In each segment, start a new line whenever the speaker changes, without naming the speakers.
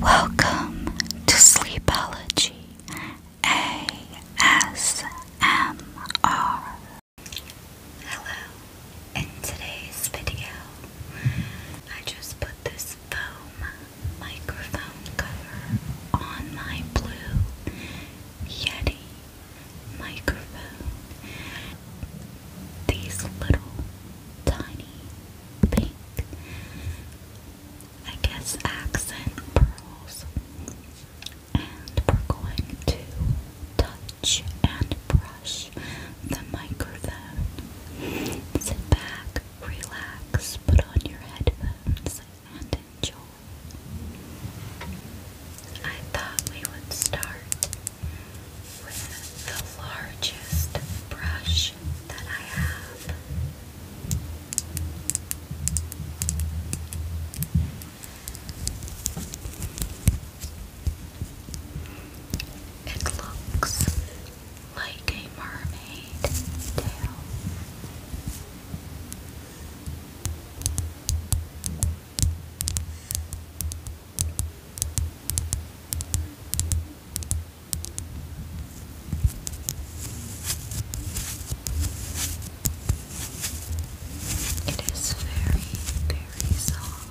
Welcome to Sleepology ASMR. Hello, in today's video, I just put this foam microphone cover on my blue Yeti microphone. These little tiny pink. I guess accent pearls. And we're going to touch and brush the microphone. Sit back, relax, put on your headphones, and enjoy. I thought we would start with the largest brush that I have. It looks like a mermaid tail. It is very, very soft.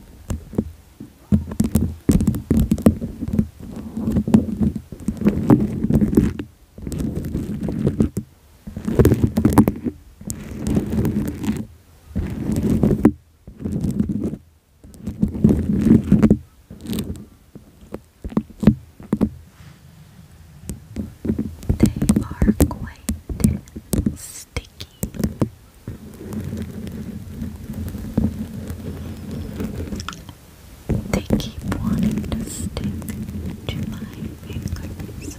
They are quite sticky. They keep to stick to my fingers.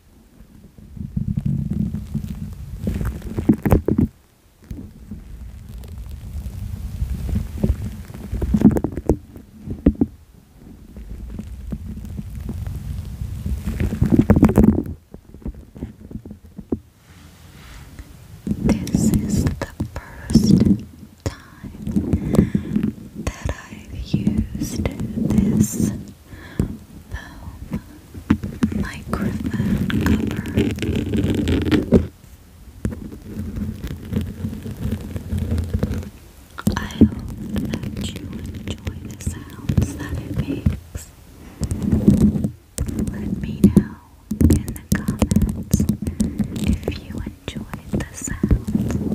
This is the first time that I've used this microphone I hope that you enjoy the sounds that it makes. Let me know in the comments if you enjoyed the sound.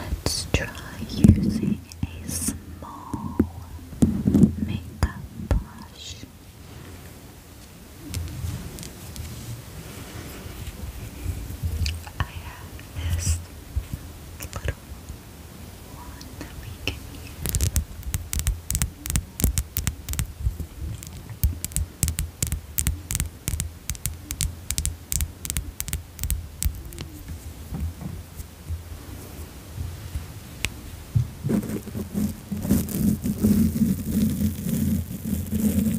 Let's try using a small makeup brush. I have this little one that we can use.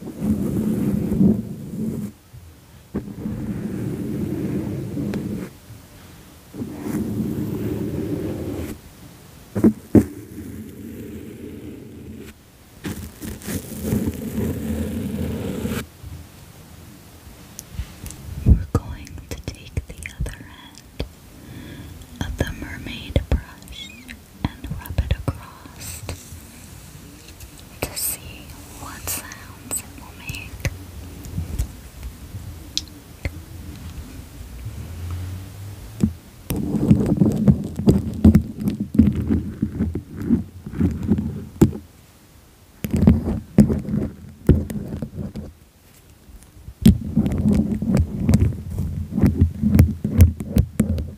We're going to take the other end of the mermaid brush and rub it across to see what sounds it will make.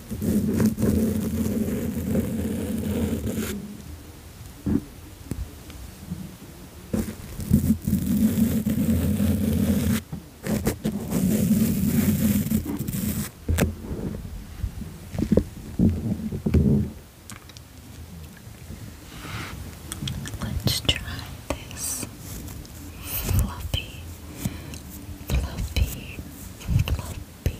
Let's try this fluffy, fluffy, fluffy,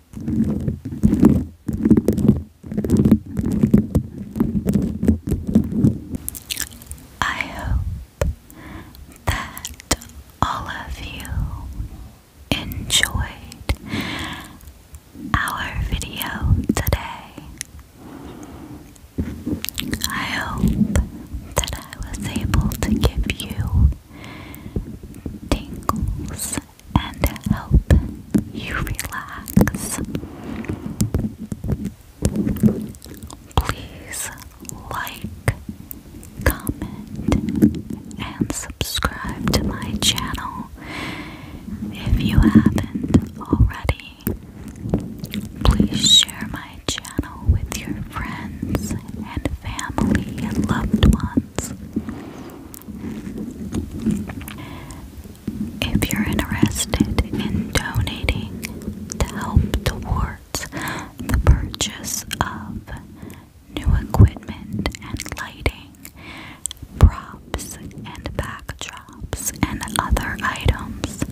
I hope that all of you enjoyed our video today. I hope that I was able to give you tingles and help you relax. Please like, comment, and subscribe to my channel if you haven't already. Please share my channel with your friends and family and loved ones. If you're interested in donating to help towards the purchase of new equipment and lighting, props and backdrops, and other items,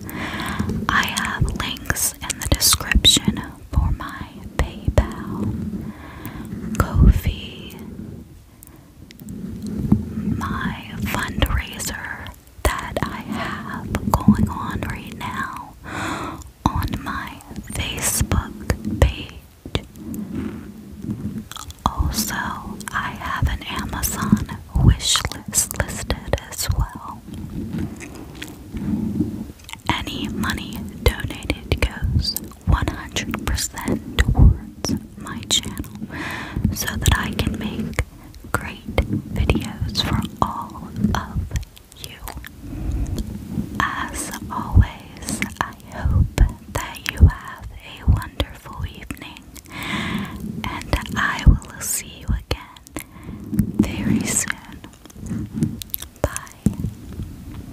I have links in the description for my PayPal, ko my fundraiser that I have going on right now on my Facebook page. Also, I have an Amazon wish list listed as well. Any money donated goes 100% towards my channel so that I can make great videos for all of you. As always, I hope that you have a wonderful evening and I will see you again very soon. Bye.